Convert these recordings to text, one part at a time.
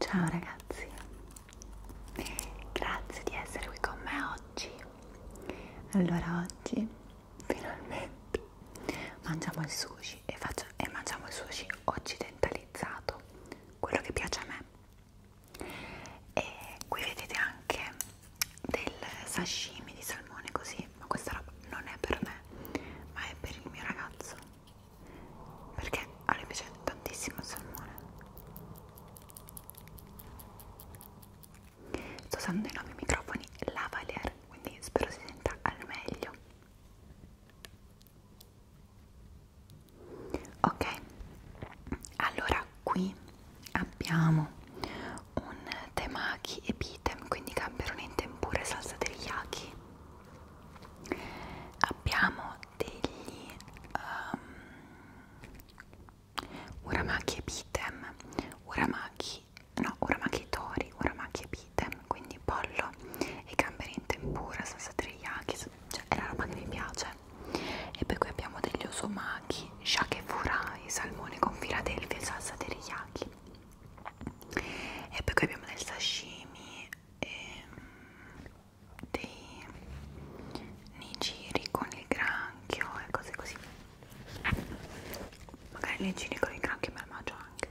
Ciao ragazzi, grazie di essere qui con me oggi. Allora oggi finalmente mangiamo il sushi e, faccio, e mangiamo il sushi occidentalizzato, quello che piace a me. E qui vedete anche del sashimi di salmone così, ma questa roba non è per me, ma è per il mio ragazzo, perché a lui piace tantissimo il salmone. Sto usando i nuovi microfoni lavalier, quindi spero si senta al meglio. Ok, allora qui abbiamo un temaki e bitem quindi gamberoni in tempura e salsa teriyaki abbiamo degli um, uramaki e bitem uramaki no uramaki tori uramaki e bitem quindi pollo e gamberi in tempura salsa teriyaki cioè è la roba che mi piace e poi qui abbiamo degli osomaki shakefura, i salmone con Philadelphia e salsa teriyaki. E poi qui abbiamo del sashimi e ehm, dei nigiri con il granchio e cose così. Magari i nigiri con il granchio me lo mangio anche.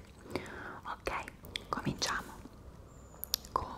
Ok, cominciamo con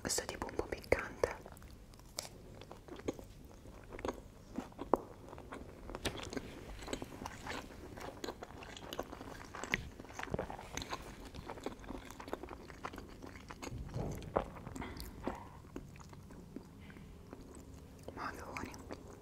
questo è tipo un po' piccante ma che buoni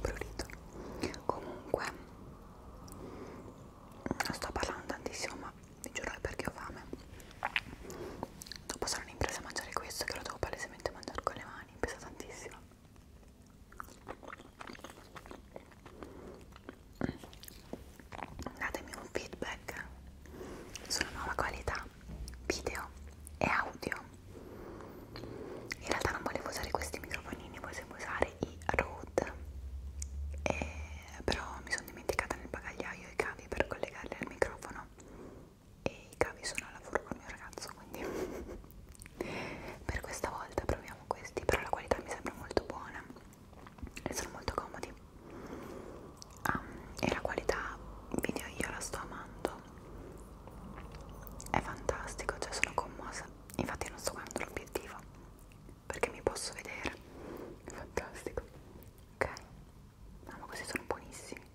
prurito comunque non sto parlando tantissimo ma vi giuro è perché ho fame Dopo sono ripresa a mangiare questo che lo devo palesemente mangiare con le mani, pesa tantissimo. Datemi un feedback sulla nuova qualità video e audio. In realtà non volevo usare questi microfonini, volevo usare i Rode, e eh, però mi sono dimenticata nel bagagliaio i cavi per collegarli al microfono e i cavi sono al lavoro col mio ragazzo quindi per questa volta proviamo questi però la qualità mi sembra molto buona e sono molto comodi um, e la qualità video io la sto amando è fantastico cioè sono commossa infatti non sto guardando l'obiettivo perché mi posso vedere è fantastico ok no ma questi sono buonissimi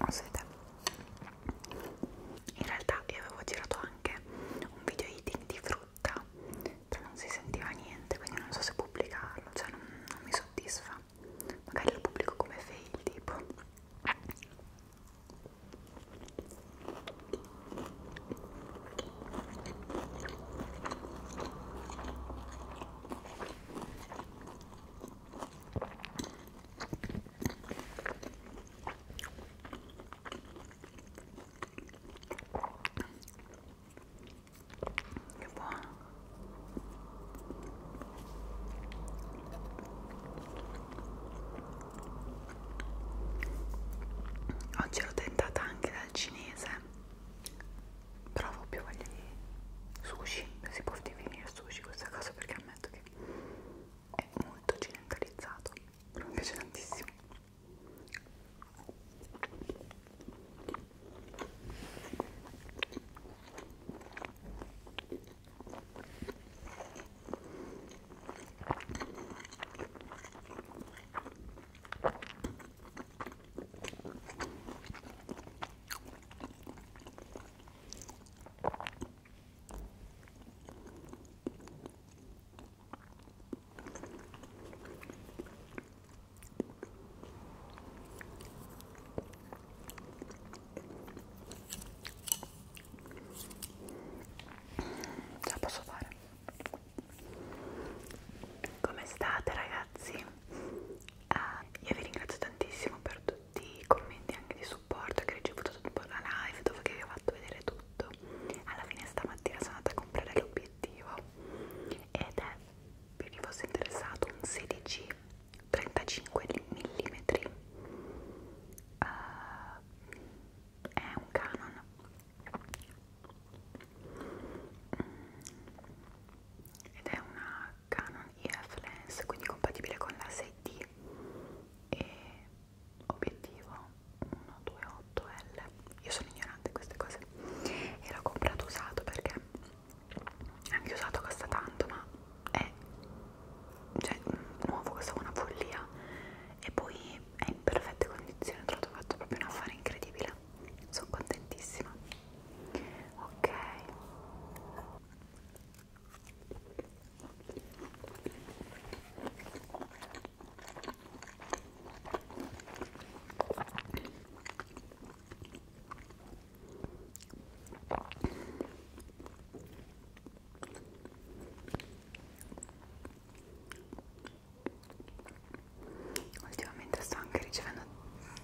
non si vede in realtà io avevo girato anche un video eating di frutta però non si sentiva niente quindi non so se pubblicarlo cioè non, non mi soddisfa magari lo pubblico come fail tipo che buono. Oggi l'ho tentata anche dal cinese. Provo più voglio di sushi, si può divenire sushi questa cosa perché ammetto che è molto occidentalizzato però mi piace tantissimo Ce la posso fare? Come state ragazzi? Ah, io vi ringrazio tantissimo per tutto tutti i commenti anche di supporto che ho ricevuto dopo la live dove vi ho fatto vedere tutto alla fine stamattina sono andata a comprare l'obiettivo ed è per chi fosse interessato un 16 35 mm uh, è un Canon ed è una Canon EF Lens quindi compatibile con la 6D e obiettivo 128L io sono ignorante di queste cose e l'ho comprato usato perché anche usato costa tanto ma è cioè nuovo costa una follia e poi è in perfette condizioni ho trovato proprio un affare incredibile sono contentissima ok Ultimamente sto anche ricevendo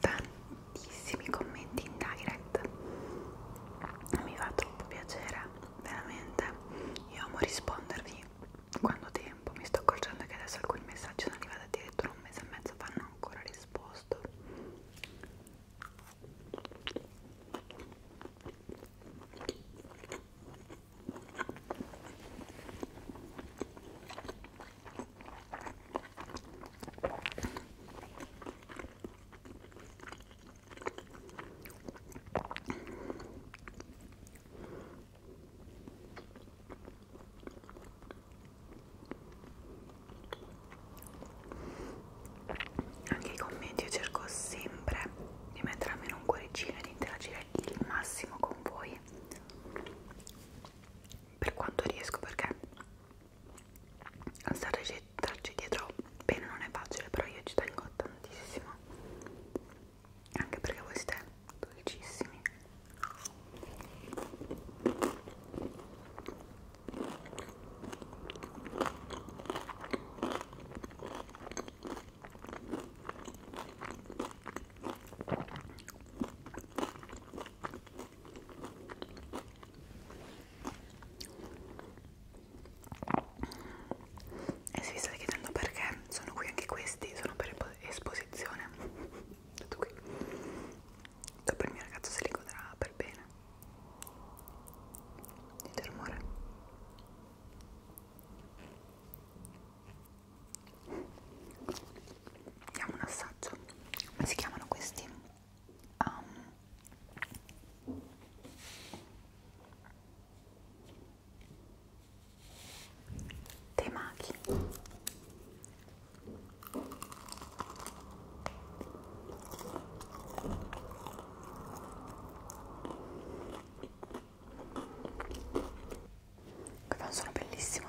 tante tantissimi commenti in direct mi fa troppo piacere veramente io amo rispondervi quando ho tempo mi sto accorgendo che adesso alcuni messaggi sono arrivati addirittura un mese e mezzo fa non ho ancora risposto anche i commenti io cerco sempre di mettere almeno un cuoricino e di interagire il massimo con voi per quanto riesco perché starci, starci dietro bene non è facile però io ci tengo tantissimo anche perché voi siete dolcissimi e se vi state chiedendo perché sono qui anche questi sono per esposizione tutto qui dopo il mio ragazzo se li godrà per bene dite rumore diamo un assaggio come si chiamano questi um, temaki che fa un suono bellissimo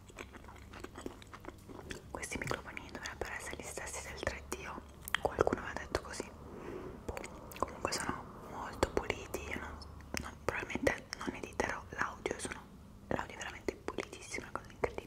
Questi microfoni dovrebbero essere gli stessi del 3D, qualcuno aveva detto così. Boh. Comunque sono molto puliti, io non, non, probabilmente non editerò l'audio, l'audio è veramente pulitissimo, è una cosa incredibile.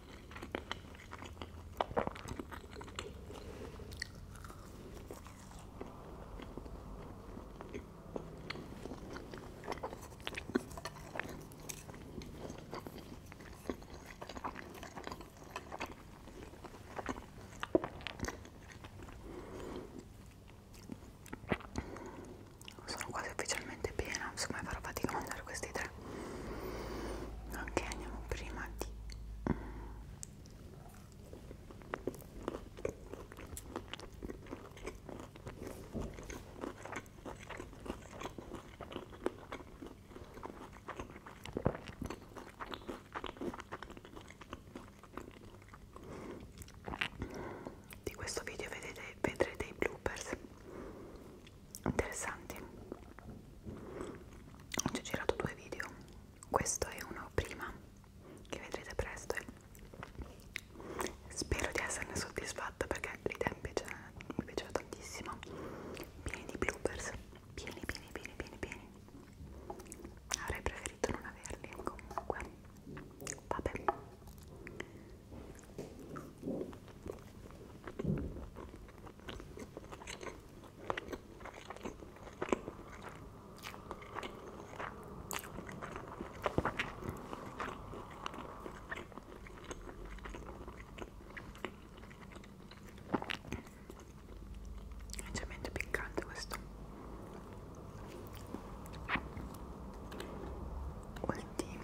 Sono quasi ufficialmente piena, insomma farò fatica a mangiare questi tre ok andiamo prima di di questo video vedete, vedrete i bloopers interessanti ci ho girato due video questo è uno prima che vedrete presto e spero di esserne soddisfatta perché l'idea mi, mi piaceva tantissimo pieni di bloopers pieni pieni pieni pieni pieni avrei preferito non averli comunque vabbè leggermente piccante questo ultimo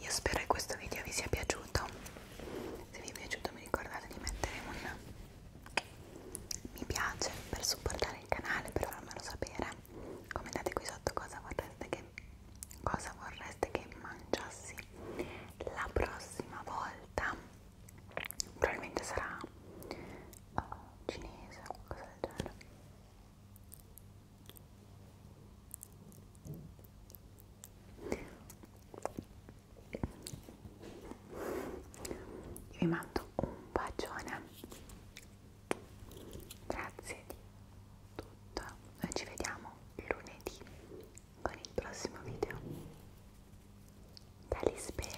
io spero che questo video vi sia piaciuto se vi è piaciuto mi ricordate di mettere un mi piace per supportare il canale per farmelo sapere commentate qui sotto cosa vorreste che cosa vorreste che mangiassi la prossima volta probabilmente sarà oh, cinese o qualcosa del genere io vi mando un bacione. Grazie di tutto. Noi ci vediamo lunedì con il prossimo video. Talispera.